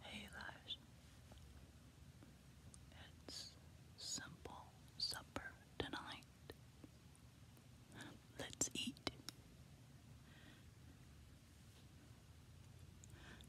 Hey guys, it's simple supper tonight. Let's eat.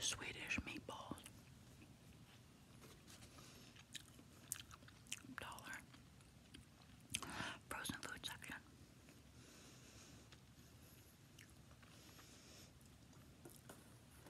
Swedish meatballs. Dollar. Frozen food section.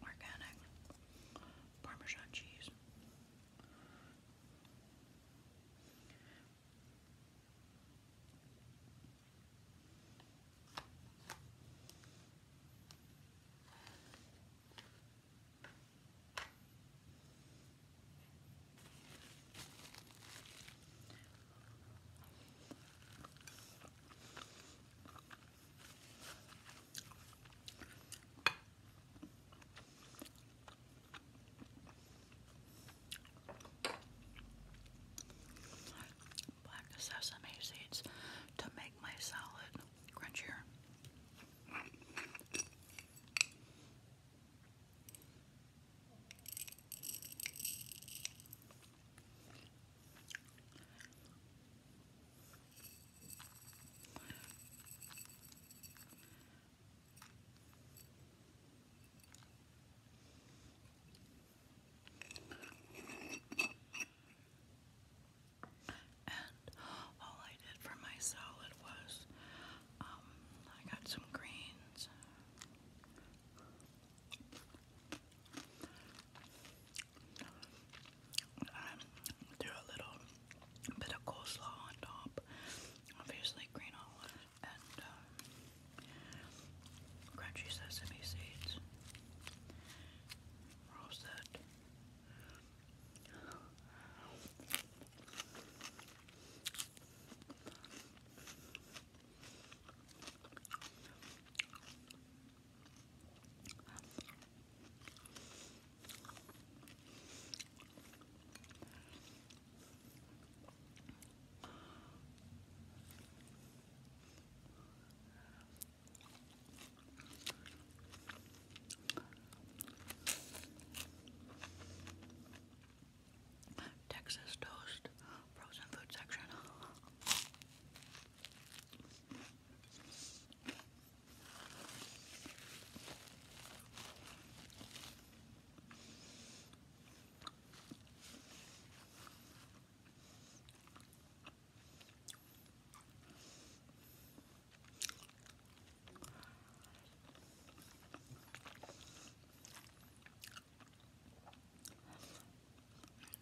Organic Parmesan cheese. Black sesame seeds to make my salad crunchier. And all I did for my salad was um, I got some greens. Um, do a little bit of coleslaw on top, obviously green olive and um, crunchy sesame seeds, Roast that. Texas toast, frozen food section.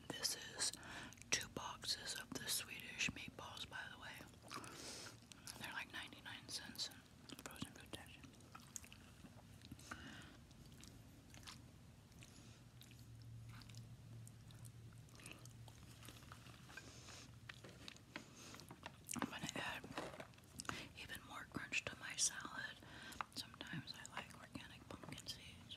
This is two boxes of the Swedish meatballs, by the way. They're like 99 cents I'm going to add even more crunch to my salad. Sometimes I like organic pumpkin seeds.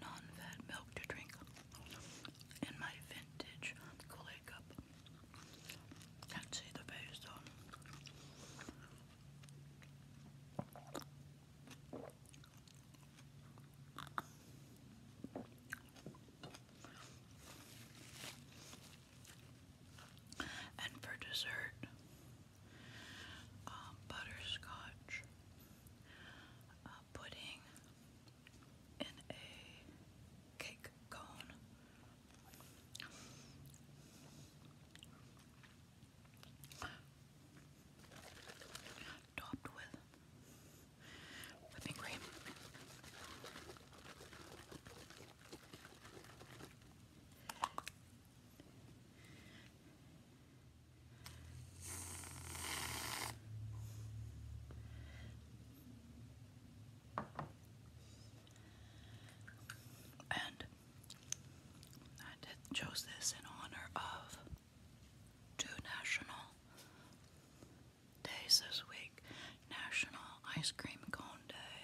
non-fat milk to drink in my vintage kool cup. Can't see the base though. And for dessert, um, butterscotch pudding in a cake cone. Topped with whipping cream. And I chose this in honor of two national days this week National Ice Cream Cone Day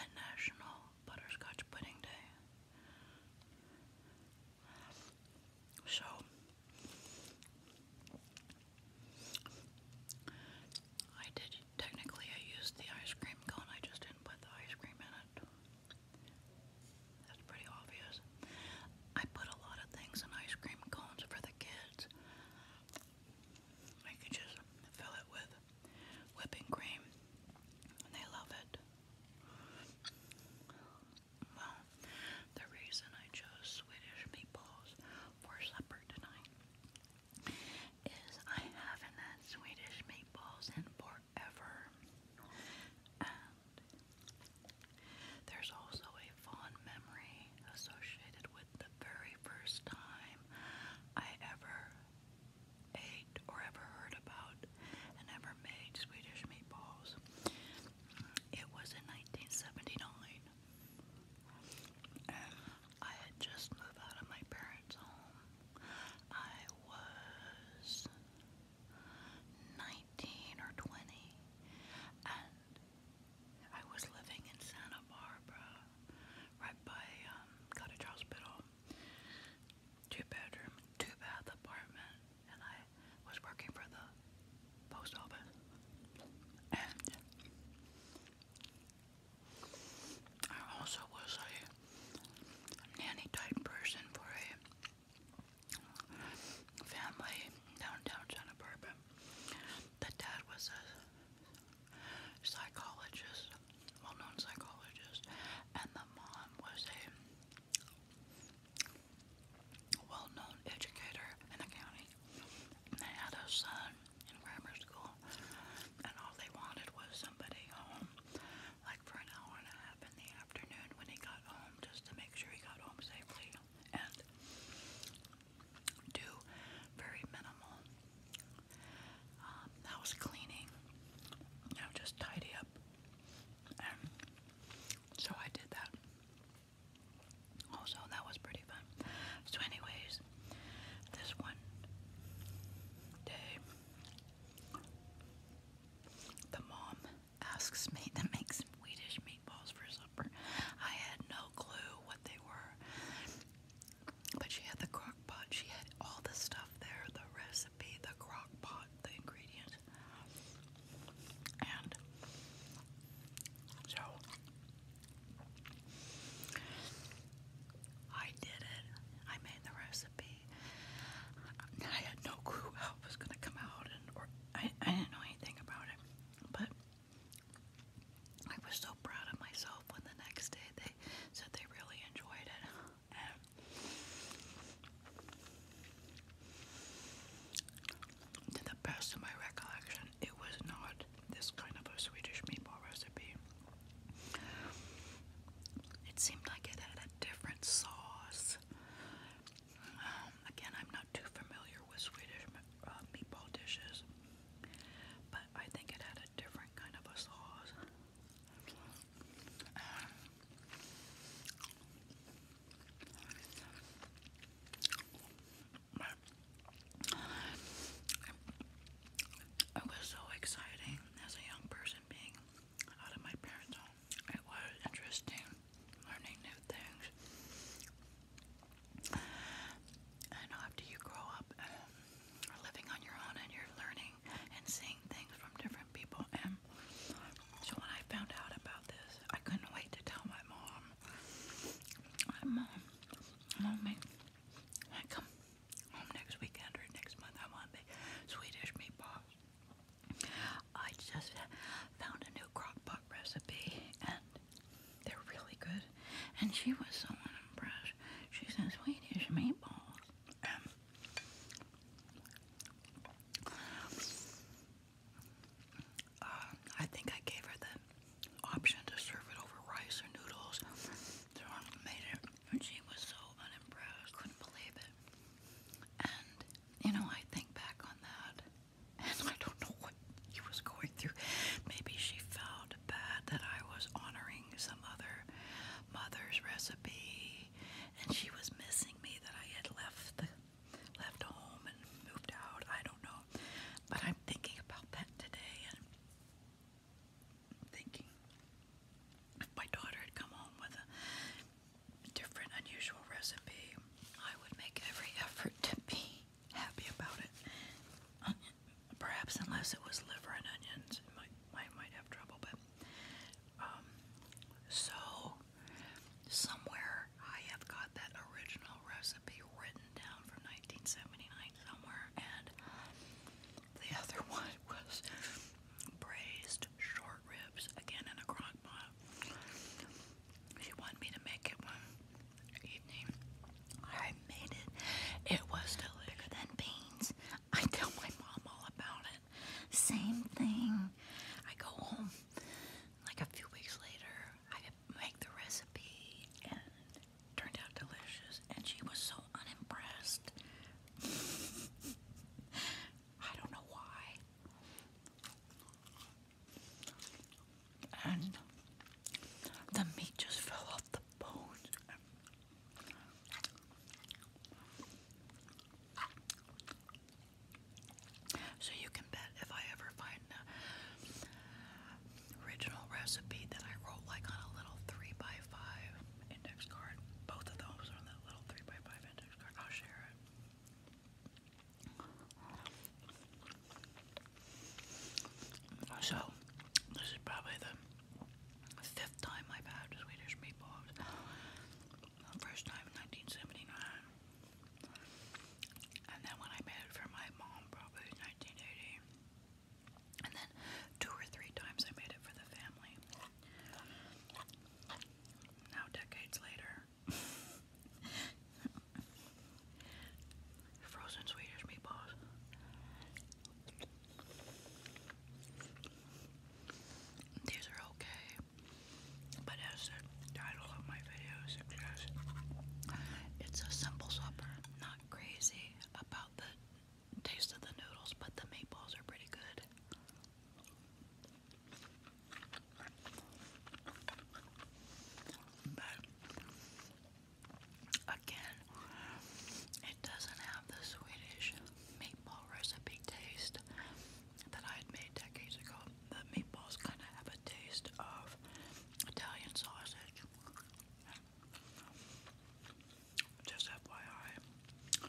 and National butterscotch pudding day. So I did technically I used the ice cream cone, I just didn't put the ice cream in it. That's pretty obvious. I put a lot of things in ice cream cones for the kids. I could just fill it with whipping cream, and they love it. Well, the reason I chose Swedish meatballs for supper tonight is I haven't had Swedish meatballs in forever. And there's also a fond memory associated with the very first time I ever ate or ever heard about and ever made Swedish meatballs. It was in 1979. And I had just moved out of my parents' home. I was 19 or 20 and I was living in Santa Barbara right by Cottage um, Hospital. Two bedroom, two bath apartment, and I was working for the post office. And I also was a nanny type person for a family downtown Santa Barbara that dad was a psychologist, well known psychologist, and the mom was a well known educator in the county. And they had a son in grammar school, and all they wanted was somebody home, like for an hour and a half in the afternoon when he got home, just to make sure he got home safely. And do very minimal um, house cleaning, you know, just tidy up. so I did that. Also, that was pretty fun. So, anyways, this one day, the mom asks me to make Swedish meatballs for supper. I had no clue what they were. But she had the crock pot, she had all the stuff there the recipe, the crock pot, the ingredients. And so I did it, I made the recipe. I had no clue how it was going to come out, and or I, I didn't know anything about it. But I was so proud of myself when the next day they said they really enjoyed it. to the best of my recollection, it was not this kind of a Swedish meatball recipe. It seemed like it had a different sauce. Um, again, I'm not too familiar with Swedish uh, meatball dishes but I think it had a different kind of a sauce. it was so exciting as a young person being out of my parents' home. It was interesting learning new things. I know after you grow up um, living on your own and you're learning and seeing things from different people. And so when I found out about this, I couldn't wait to tell my mom. My mom, mom made, I come home next weekend or next month. I want to Swedish meatballs. I just found a new crock pot recipe and they're really good. And she was so unimpressed. She says, Swedish meatballs. Um, uh, I think I gave her the option to serve it over rice or noodles. she was so unimpressed, couldn't believe it. And you know, I think back on that, and I don't know what he was going through. Maybe she felt bad that I was honoring some other mother's recipe, and she was missing me that I had left the left home and moved out. I don't know, but I'm thinking about that today, and thinking if my daughter had come home with a different, unusual recipe, I would make every effort to be happy about it. Onion, perhaps unless it was liver and onions, it might, I might have trouble. But um, so somewhere I have got that original recipe written down from 1979 somewhere, and the other one was braised short ribs again in a crock pot. She wanted me to make it one evening. I made it. It was still bigger than beans. I tell my mom all about it. Same thing. I go home like a few weeks later. I make the recipe and turned out delicious. And she was so unimpressed. I don't know why and the meat just fell off the bones. So you can bet if I ever find an original recipe that I wrote like on a little 3x5 index card, both of those are on that little 3x5 index card, I'll share it. So, this is probably the fifth time I've had Swedish meatballs. first time in 1979. And then when I made it for my mom, probably 1980. And then two or three times I made it for the family. Now, decades later, Frozen Swedish meatballs. These are okay, but as the title of my video suggests, it's a simple supper. Not crazy about the taste of the noodles, but the meatballs are pretty good. But again, it doesn't have the Swedish meatball recipe taste that I had made decades ago. The meatballs kind of have a taste of Italian sausage. Just FYI.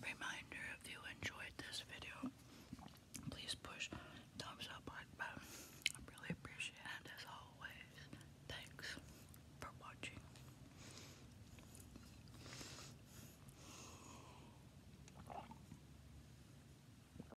Reminder if you enjoyed this video, please push thumbs up button. I really appreciate it. as always, thanks for watching.